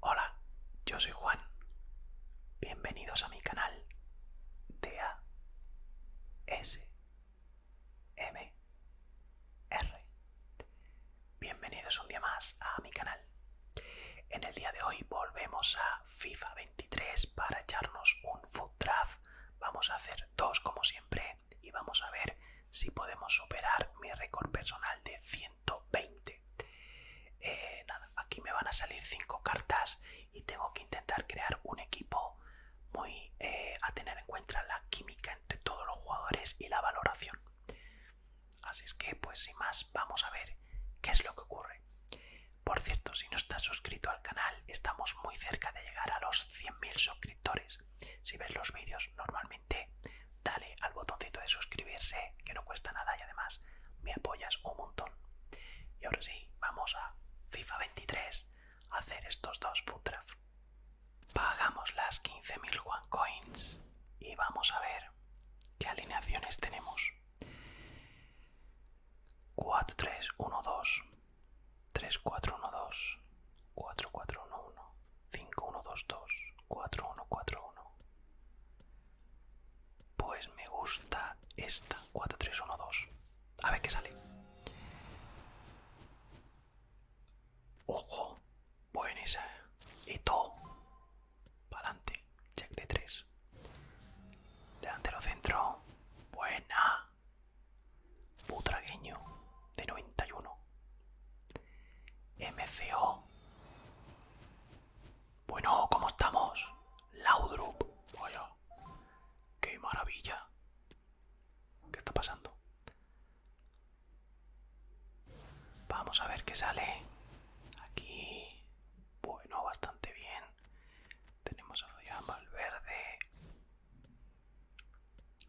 Hola, yo soy Juan. Bienvenidos a mi canal A S M R. Bienvenidos un día más a mi canal. En el día de hoy volvemos a FIFA para echarnos un food draft. Vamos a hacer dos como siempre y vamos a ver si podemos superar mi récord personal de 120. Eh, nada, aquí me van a salir cinco cartas y tengo que intentar crear un equipo muy eh, a tener en cuenta la química entre todos los jugadores y la valoración. Así es que, pues sin más, vamos a ver qué es lo que ocurre. Por cierto, si no estás suscrito al canal, estamos muy cerca de llegar a los 100.000 suscriptores. Si ves los vídeos normalmente, dale al botoncito de suscribirse, que no cuesta nada y además me apoyas un montón. Y ahora sí, vamos a FIFA 23 a hacer estos dos food Pagamos las 15.000 one coins y vamos a ver qué alineaciones tenemos. 4, 3, 1, 2, 3, 4, 1, 2, 4, 4, 1, 1, 5, 1, 2, 2, 4, 1, 4, 1. Pues me gusta esta, 4, 3, 1, 2. A ver qué sale. Ojo, buena esa. ¿eh? todo, adelante Check de 3. lo centro. Buena. Putragueño. De 91. MCO. Bueno, ¿cómo estamos? Laudrup. Vaya. Qué maravilla. ¿Qué está pasando? Vamos a ver qué sale. Aquí bueno, bastante bien. Tenemos a Valverde.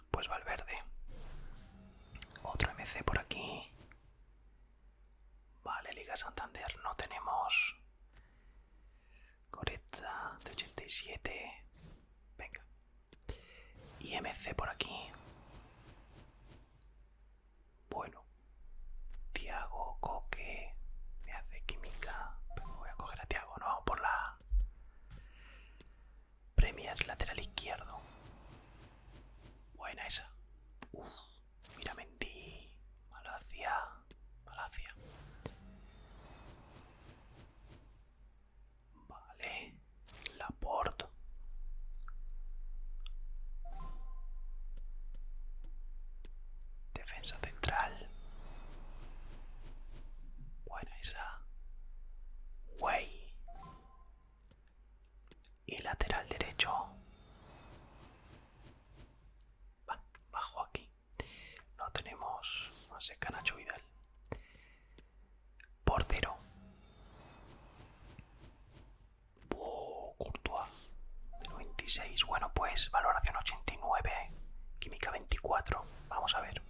Pues Valverde. Otro MC por aquí. Vale, Liga Santander no tenemos. Coretza de 87. Venga. Y MC por aquí. Bueno, Tiago Coque me hace química. Pero voy a coger a Tiago, no vamos por la Premier lateral izquierdo. Buena esa. uff, mira mentí. Malacia. Malacia. Vale. Porto. Defensa central. Buena esa. Güey. Y lateral derecho. bajo aquí. No tenemos más no Portero. Courtois de Bueno, pues valoración 89, química 24. Vamos a ver.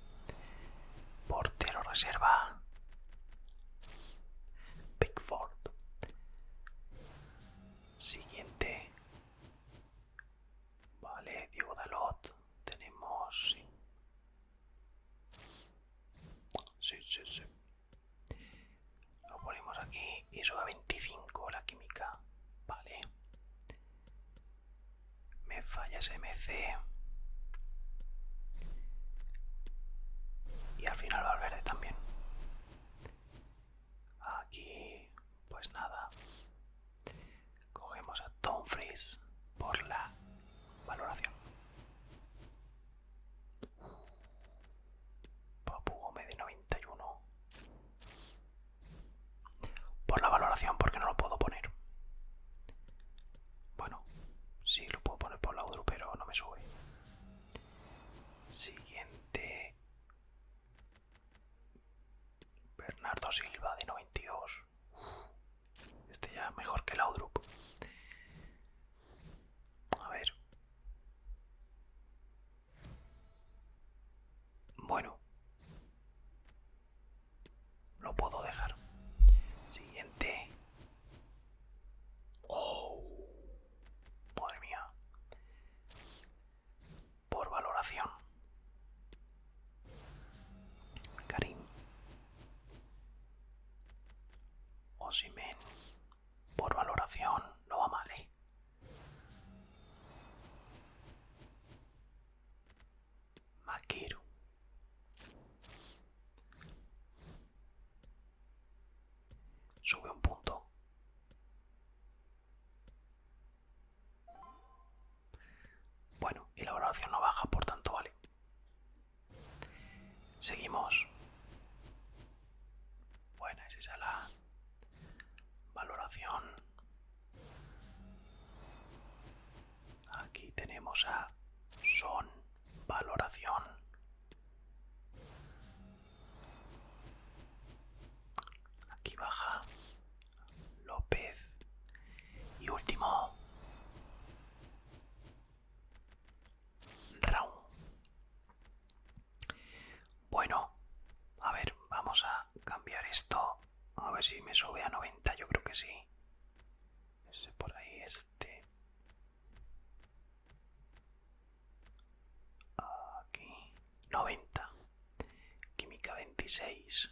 Portero reserva. Pickford. Siguiente. Vale, Diego Dalot. Tenemos... Sí, sí, sí. Lo ponemos aquí y sube a 25 la química. Vale. Me falla SMC. Y al final va al verde también. Aquí, pues nada. Cogemos a Tom Freeze por la valoración. Papu Gómez de 91. Por la valoración, porque no lo puedo poner. Bueno, sí lo puedo poner por la pero no me sube. Siguiente. Bernardo Silva de 92. Este ya mejor que la Laudrup. A ver. Bueno. Lo puedo dejar. Siguiente. Oh. Madre mía. Por valoración. Karim. Osimen. Por valoración no va mal, ¿eh? Sube un punto. Bueno, y la valoración no baja, por tanto, vale. Seguimos. Bueno, es la valoración. Aquí tenemos a Son Valoración. Aquí baja López. Y último, Round. Bueno, a ver, vamos a cambiar esto. A ver si me sube a 90, yo creo que sí. Ese por ahí, este. Aquí. 90. Química 26.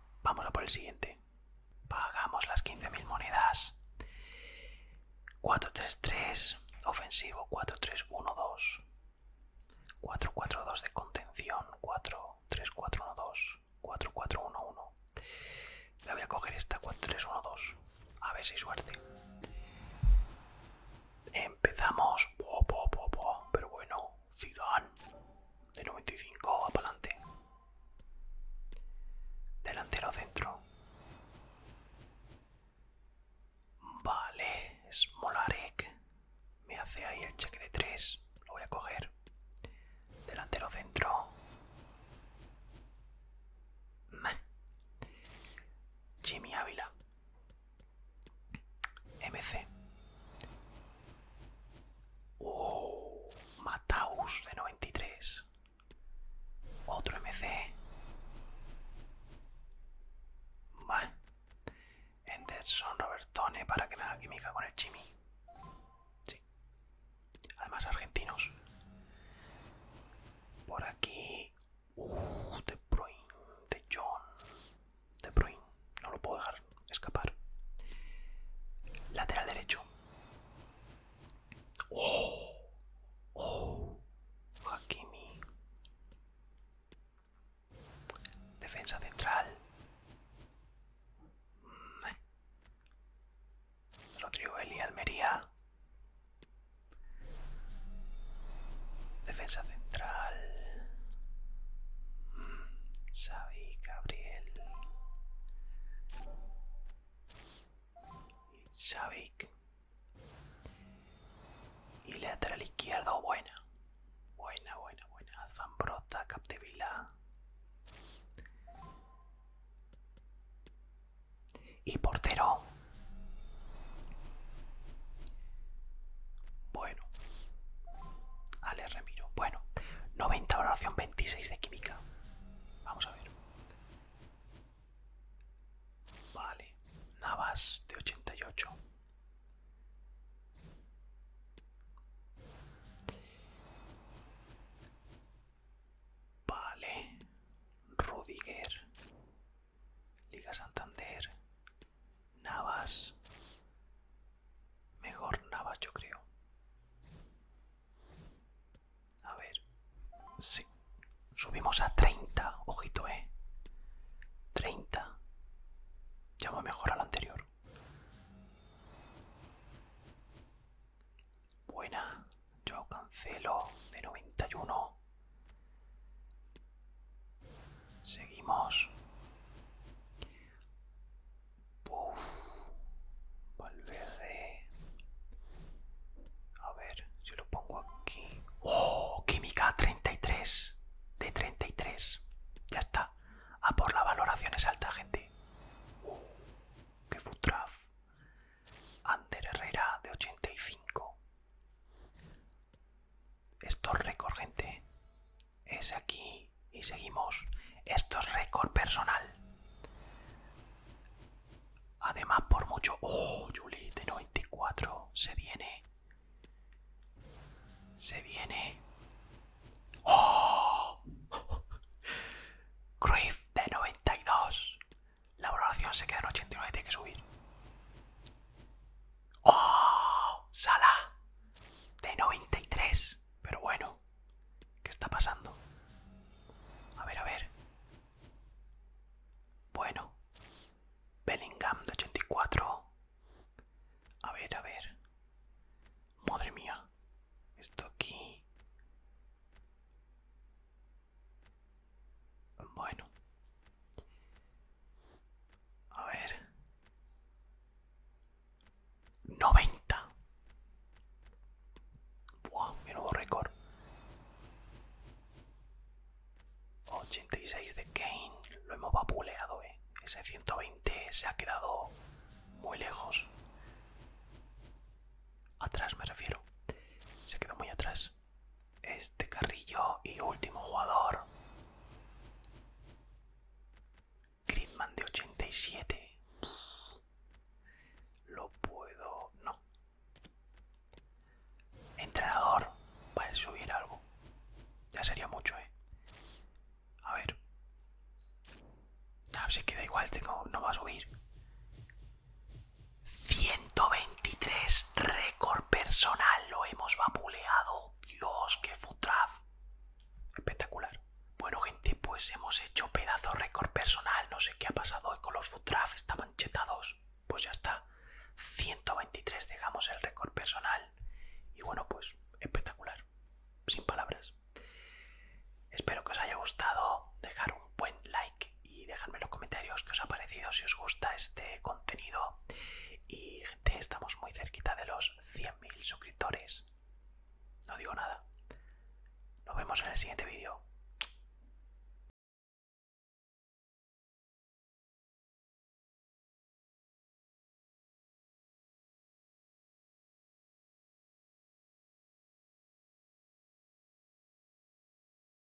Vamos a por el siguiente. Pagamos las 15.000 monedas. 4-3-3, ofensivo. 4-3-1-2. 4-4-2 de contención. 4-3-4-1-2. 4-4-1-1. La voy a coger esta 4-3-1-2. A ver si suerte. Empezamos. Pero bueno, Zidane. De 95 va para adelante. Delantero centro. Vale, Smolarek. Me hace ahí el cheque de 3. Lo voy a coger. Delantero centro. Jimmy Ávila. MC. Oh, Mataus de 93. Otro MC. Bah. Henderson Robertone para que me haga química con el Chimi. Sí. Además, argentinos. Por aquí. Uh, The de John. De Bruyne, no lo puedo dejar escapar. Lateral derecho. ¡Oh! ¡Oh! Hakimi. Defensa central. Rodrigo Eli Almería. Defensa central. Xavi Gabriel. Xavi. Y lateral izquierdo, buena. Buena, buena, buena. Zambrota, Capdevila. Y portero. Bueno. Ale Remiro. Bueno. 90 valoración, 26 de química. Vamos a ver. Vale. Navas de 88. Vale. Rudiger. Liga Santander. Navas. Mejor Navas, yo creo. A ver. Sí. Subimos a 30. Ojito, eh. 30. Ya mejor a lo anterior. Buena. Yo cancelo de 91. Seguimos. Valverde. A ver, si lo pongo aquí. ¡Oh! Química 33 de 33. Ya está. A por la valoración es alta, gente. Uh, ¡Qué futraf! Ander Herrera de 85. Esto es récord, gente. Es aquí y seguimos. Esto es récord personal. Además, por mucho... ¡Oh, Julie! De 94. Se viene. Se viene. ¡Oh! Cruyff de 92. La valoración se queda en 89. Tiene que subir. ¡Oh! Sala de 93. Pero bueno, ¿qué está pasando? A ver, a ver. Bueno. Bellingham de 84. A ver, a ver. Madre mía. Esto aquí. Bueno. A ver. 90. Buah, mi nuevo récord. 86 de Kane. Lo hemos vapuleado, eh. Ese 120 se ha quedado muy lejos. Atrás me refiero. Se ha quedado muy atrás este carrillo y último jugador. Gridman de 87. Lo puedo... No. Entrenador. Para subir algo. Ya sería mucho, ¿eh? A ver. Ah, si pues queda igual, tengo... no va a subir. 123 récord personal lo hemos vapuleado. Dios, que futraf. Espectacular. Bueno, gente, pues hemos hecho pedazo récord personal. No sé qué ha pasado con los futraf, estaban chetados. Pues ya está. 123 dejamos el récord personal. Y bueno, pues espectacular. Sin palabras. Espero que os haya gustado. Dejar un buen like y dejadme en los comentarios qué os ha parecido, si os gusta este contenido. Y gente, estamos muy cerquita de los 100.000 suscriptores. No digo nada. Nos vemos en el siguiente vídeo.